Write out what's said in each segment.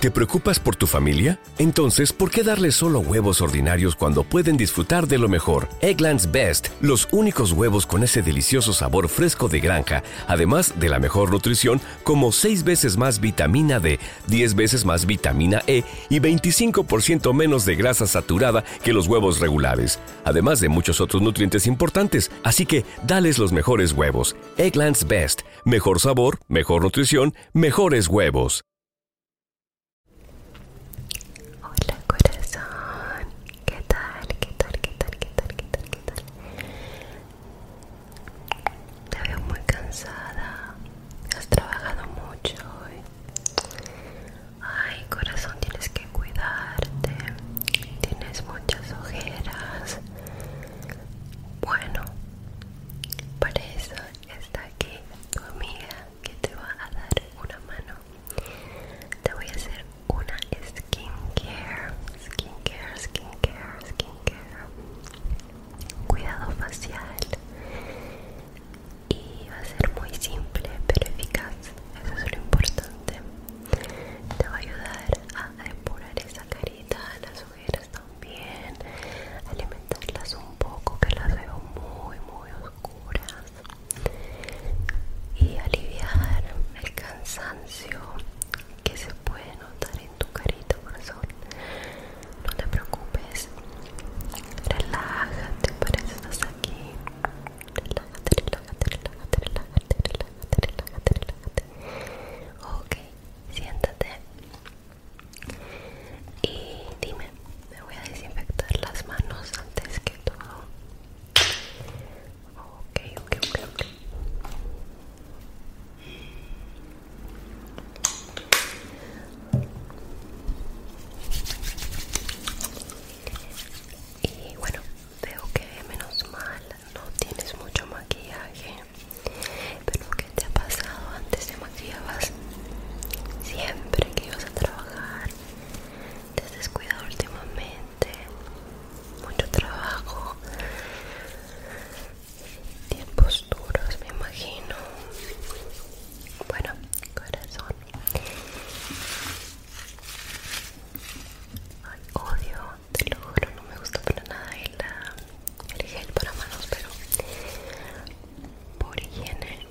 ¿Te preocupas por tu familia? Entonces, ¿por qué darles solo huevos ordinarios cuando pueden disfrutar de lo mejor? Eggland's Best, los únicos huevos con ese delicioso sabor fresco de granja, además de la mejor nutrición, como 6 veces más vitamina D, 10 veces más vitamina E y 25% menos de grasa saturada que los huevos regulares además de muchos otros nutrientes importantes. Así que dales los mejores huevos. Egglands Best. Mejor sabor, mejor nutrición, mejores huevos. Hola corazón. ¿Qué tal? ¿Qué tal? ¿Qué tal? ¿Qué tal? ¿Qué tal? Te veo muy cansada. Has trabajado mucho hoy. Ay, corazón, tienes que cuidarte. Tienes muchas ojeras. Bueno, para eso está aquí tu amiga que te va a dar una mano. Te voy a hacer una skincare. Skincare, skincare, skincare. Cuidado facial. Y va a ser muy simple pero eficaz eso es lo importante te va a ayudar a depurar esa carita las ojeras también alimentarlas un poco que las veo muy muy oscuras y aliviar el cansancio que se puede notar en tu carita corazón no te preocupes relájate para eso estás aquí relájate, relájate, relájate, relájate, relájate, relájate, relájate. Ok, siéntate y dime, me voy a desinfectar las manos antes que todo. Ok, ok, ok, ok y bueno veo que menos mal no tienes mucho maquillaje pero que te ha pasado antes de maquillabas siempre que ibas a trabajar te has descuidado últimamente mucho trabajo tiempos duros me imagino bueno corazón Ay, odio, te lo juro, no me gusta para nada el, el gel para manos, pero por higiene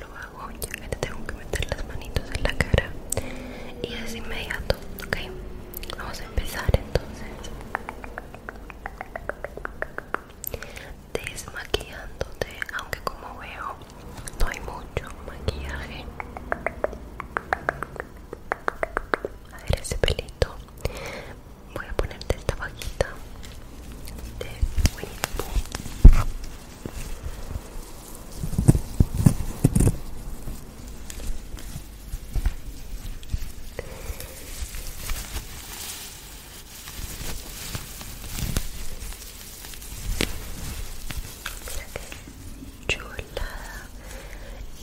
lo hago ya que te tengo que meter las manitos en la cara y es inmediato, ok. Vamos a empezar entonces desmaquillándote, aunque como veo no hay mucho maquillaje. A ver ese pelito. Voy a ponerte esta vaquita de Winnie Mira qué chulada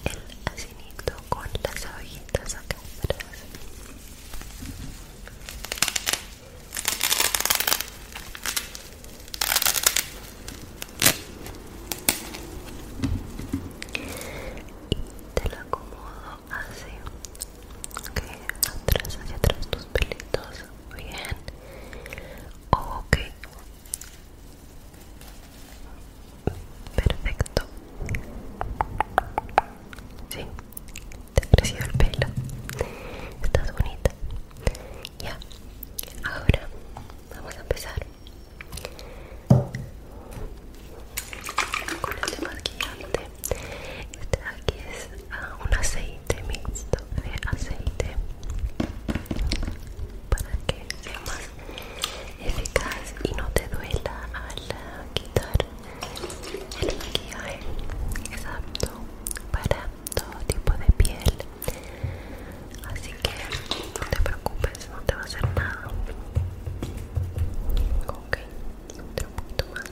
el asinito con las abejitas acá Y te lo acomodo así ok, atrás hacia atrás tus pelitos Muy bien ok perfecto sí te ha crecido el pelo estás bonita ya ahora vamos a empezar con este maquillante este de aquí es ah, un aceite este mixto de aceite para que sea más eficaz y no te duela al quitar el maquillaje exacto para todo tipo de piel así que no te preocupes no te va a hacer nada ok otro poquito más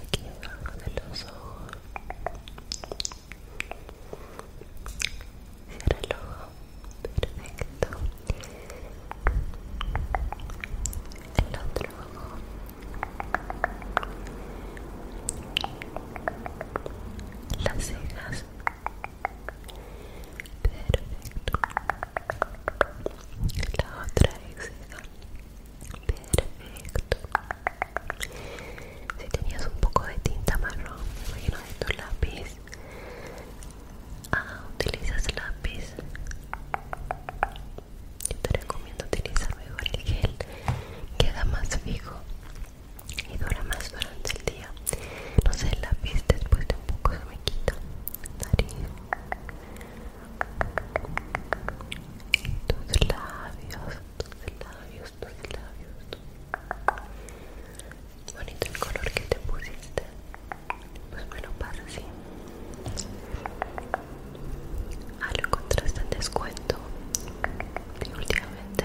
aquí debajo de los ojos cierra el ojo perfecto el otro ojo las cejas perfecto la otra exhala perfecto si tenías un poco de tinta marrón imagino de tu lápiz ah utilizas lápiz yo te recomiendo utilizar mejor el gel queda más fijo y dura más durante el día no sé el lápiz después de un poco se me quita nariz tus labios, tus labios, tus labios. Bonito el color que te pusiste. Pues bueno, para así. Ah, lo encontraste en descuento. Y últimamente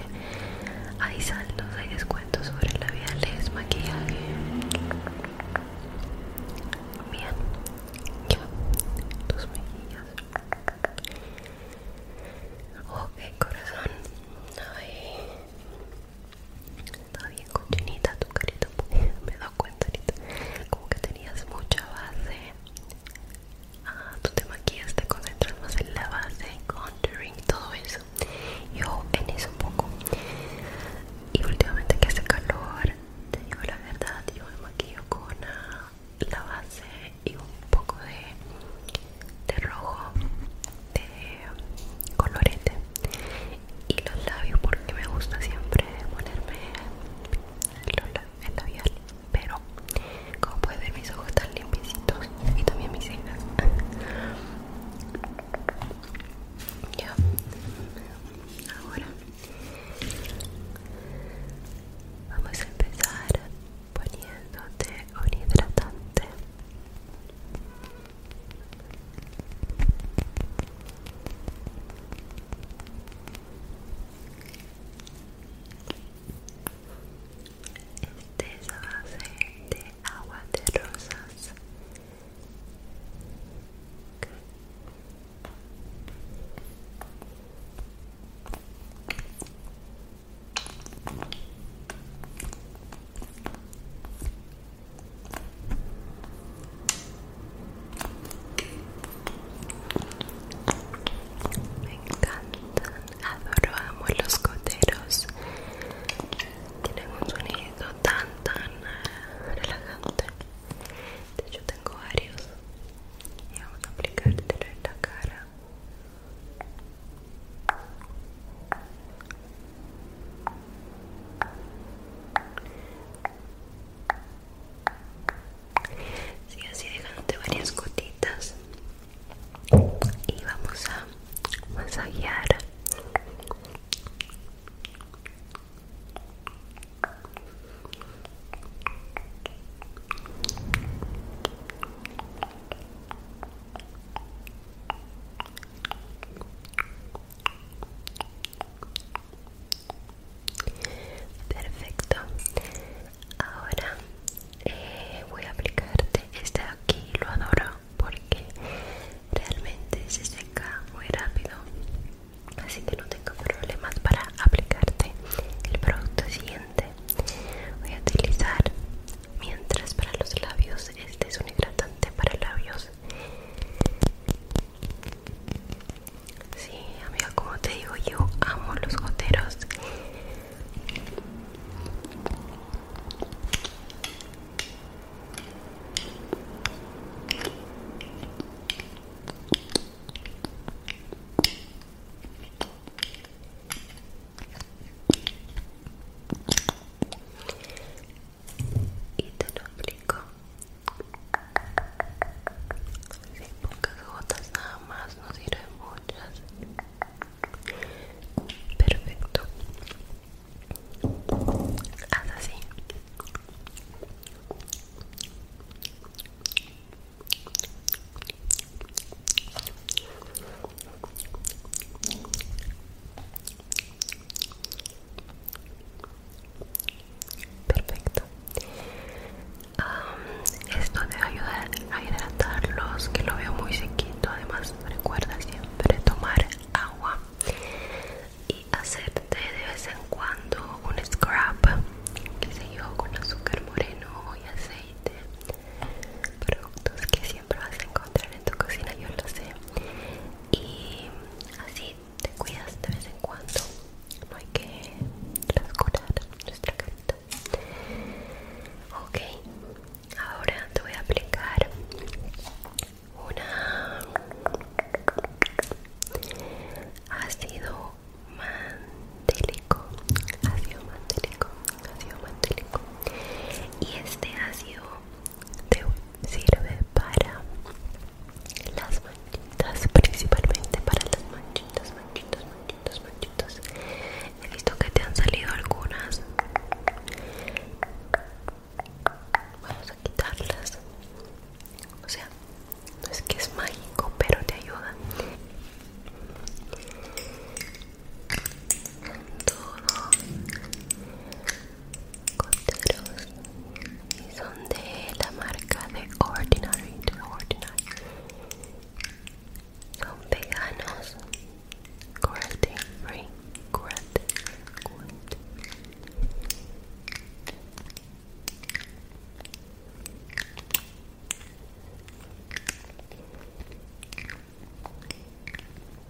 hay saldos, hay descuentos sobre labiales, maquillaje. Bien, ya, tus mejillas. Ok, corazón. Ay, está bien cochinita tu carita. Me he cuenta ahorita. Como que tenías mucha base. Ah, tú te maquillas, te concentras más en la base, contouring, todo eso. Yo en eso un poco y últimamente que hace calor te digo la verdad yo me maquillo con ah, la base y un poco de, rojo de colorete y los labios porque me gusta siempre ponerme el, el labial pero como puedes ver mis ojos están limpicitos y también mis cejas ya ahora vamos a empezar poniéndote un hidratante este es base de agua de rosas me encantan, adoro, amo los coteros tienen un sonido tan tan eh, relajante de hecho tengo varios y vamos a aplicártelo en la cara sigue así dejándote varias gotitas y vamos a masajear Perfecto. Ahora eh, voy a aplicarte este aquí, lo adoro porque realmente se seca muy rápido así que no tengo problemas para aplicarte el producto siguiente voy a utilizar mientras para los labios este es un hidratante para labios Sí, amiga, como te digo, yo amo los goteros y te lo aplico si pocas gotas nada más, no sirven muchas Perfecto. Haz así. Perfecto. Um, esto debe ayudar a hidratarlos, que lo veo muy sequito, además recuerda siempre tomar agua y hacerte de vez en cuando un scrub que se yo con azúcar moreno y aceite productos que siempre vas a encontrar en tu cocina yo lo sé y así te cuidas de vez en cuando no hay que rascurar nuestra carita Okay, ok ahora te voy a aplicar un ácido mantélico ácido mantélico ácido mantélico y este ácido te sirve para las manchitas principalmente para las manchitas manchitas manchitas manchitas He visto que te han salido algunas. Vamos a quitarlas. O sea, no es que es mágico, pero te ayuda. Todo costeros y son de la marca de Ordinary, Ordinary son veganos cruelty free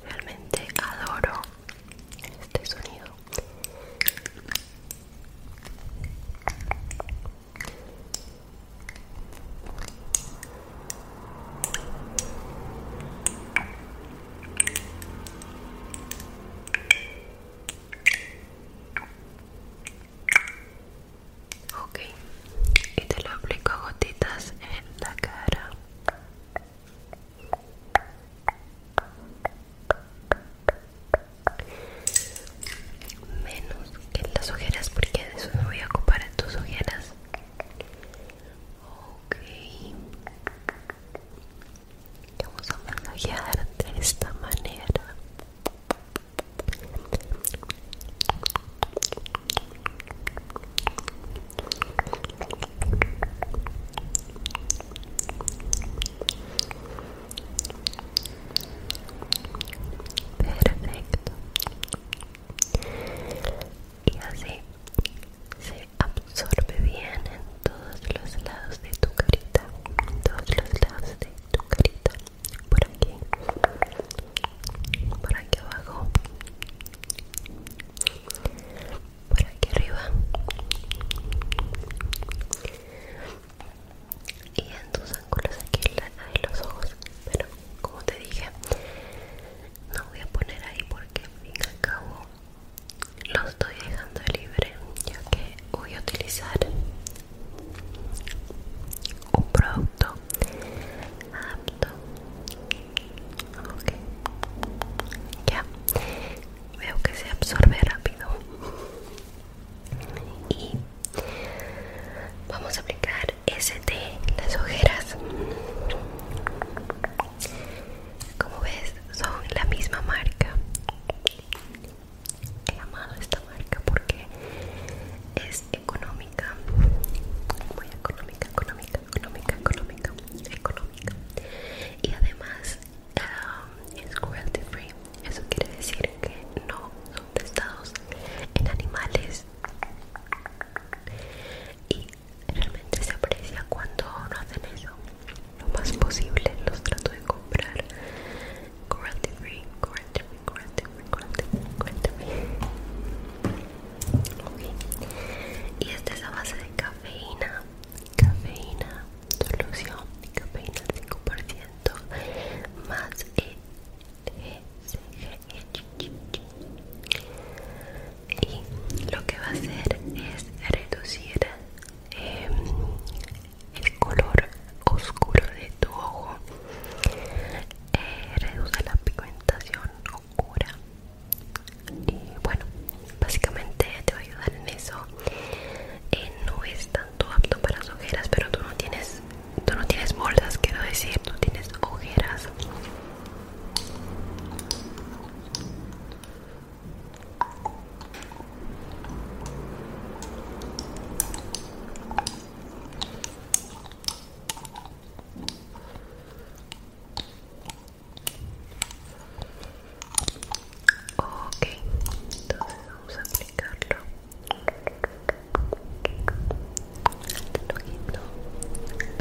realmente adoro este sonido Ok, y te lo aplico gotitas en la cara menos que las ojeras porque de eso me voy a ocupar en tus ojeras ok vamos a masajear de esta manera perfecto y así se absorbe bien en todos los lados de tu carita en todos los lados de tu carita por aquí por aquí abajo por aquí arriba y en tus ángulos aquí de los ojos pero como te dije no voy a poner ahí porque al fin y al cabo lo estoy dejando libre ya que voy a utilizar un producto apto ok ya veo que se absorbe rápido y vamos a aplicar ese las ojeras como ves son la misma marca he amado esta marca porque es económica muy económica económica económica económica económica y además um, es cruelty free eso quiere decir que no son testados en animales y realmente se aprecia cuando no hacen eso. Lo más posible los trato de comprar free, free, free, Y esta es la base de cafeína, cafeína, solución, cafeína 5% c más y lo que va a hacer es reducir em, el color oscuro de tu ojo eh, reduce la pigmentación oscura y bueno básicamente te va a ayudar en eso en nuestra tú apto para las ojeras pero tú no tienes tú no tienes bolsas quiero decir tú tienes ojeras Ok, entonces vamos a aplicarlo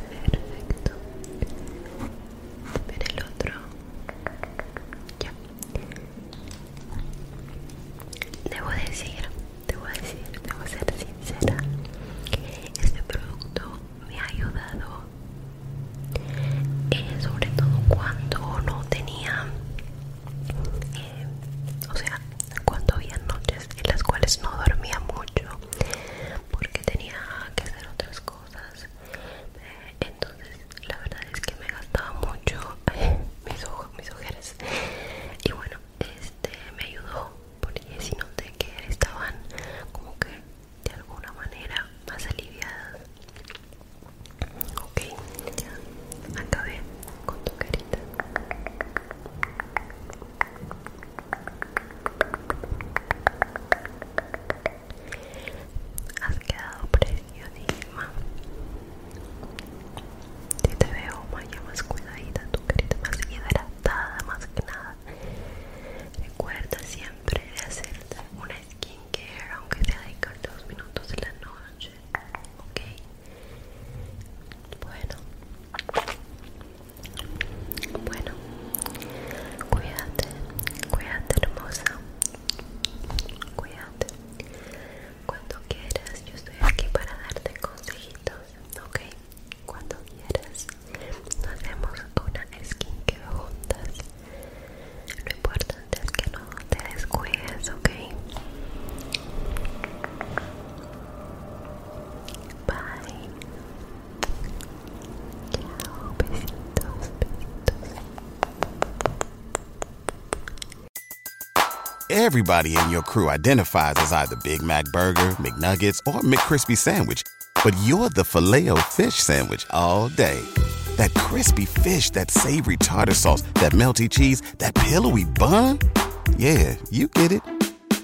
Perfecto. Ver el otro. Ya. Debo decir, debo decir, debo ser sincera. Este producto me ha ayudado. Eh, sobre todo cuando no tenía o sea cuando había noches en las cuales no dormía mucho porque tenía que hacer otras cosas eh, entonces la verdad es que me gastaba mucho mis ojos mis ojeras y bueno este me ayudó porque si noté que estaban como que de alguna manera más aliviadas Ok, ya acabé con tu carita. Has quedado preciosísima. Si te veo Maya, más cuidadita, tu carita más hidratada, más que nada. Recuerda siempre de hacerte una skincare, aunque te dedicar dos minutos de la noche, ok. Bueno, bueno, cuídate, cuídate, hermosa, cuídate. Cuando quieras, yo estoy aquí para darte consejitos, ok. Cuando quieras, nos hacemos una care juntas. Everybody in your crew identifies as either Big Mac Burger, McNuggets, or McCrispy Sandwich, but you're the Filet-O-Fish Sandwich all day. That crispy fish, that savory tartar sauce, that melty cheese, that pillowy bun. Yeah, you get it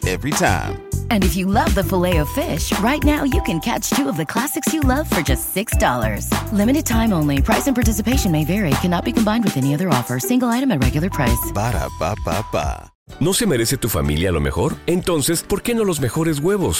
every time. And if you love the filet of fish, right now you can catch two of the classics you love for just $6. Limited time only. Price and participation may vary. Cannot be combined with any other offer. Single item at regular price. Ba da ba ¿No se merece tu familia lo mejor? Entonces, ¿por qué no los mejores huevos?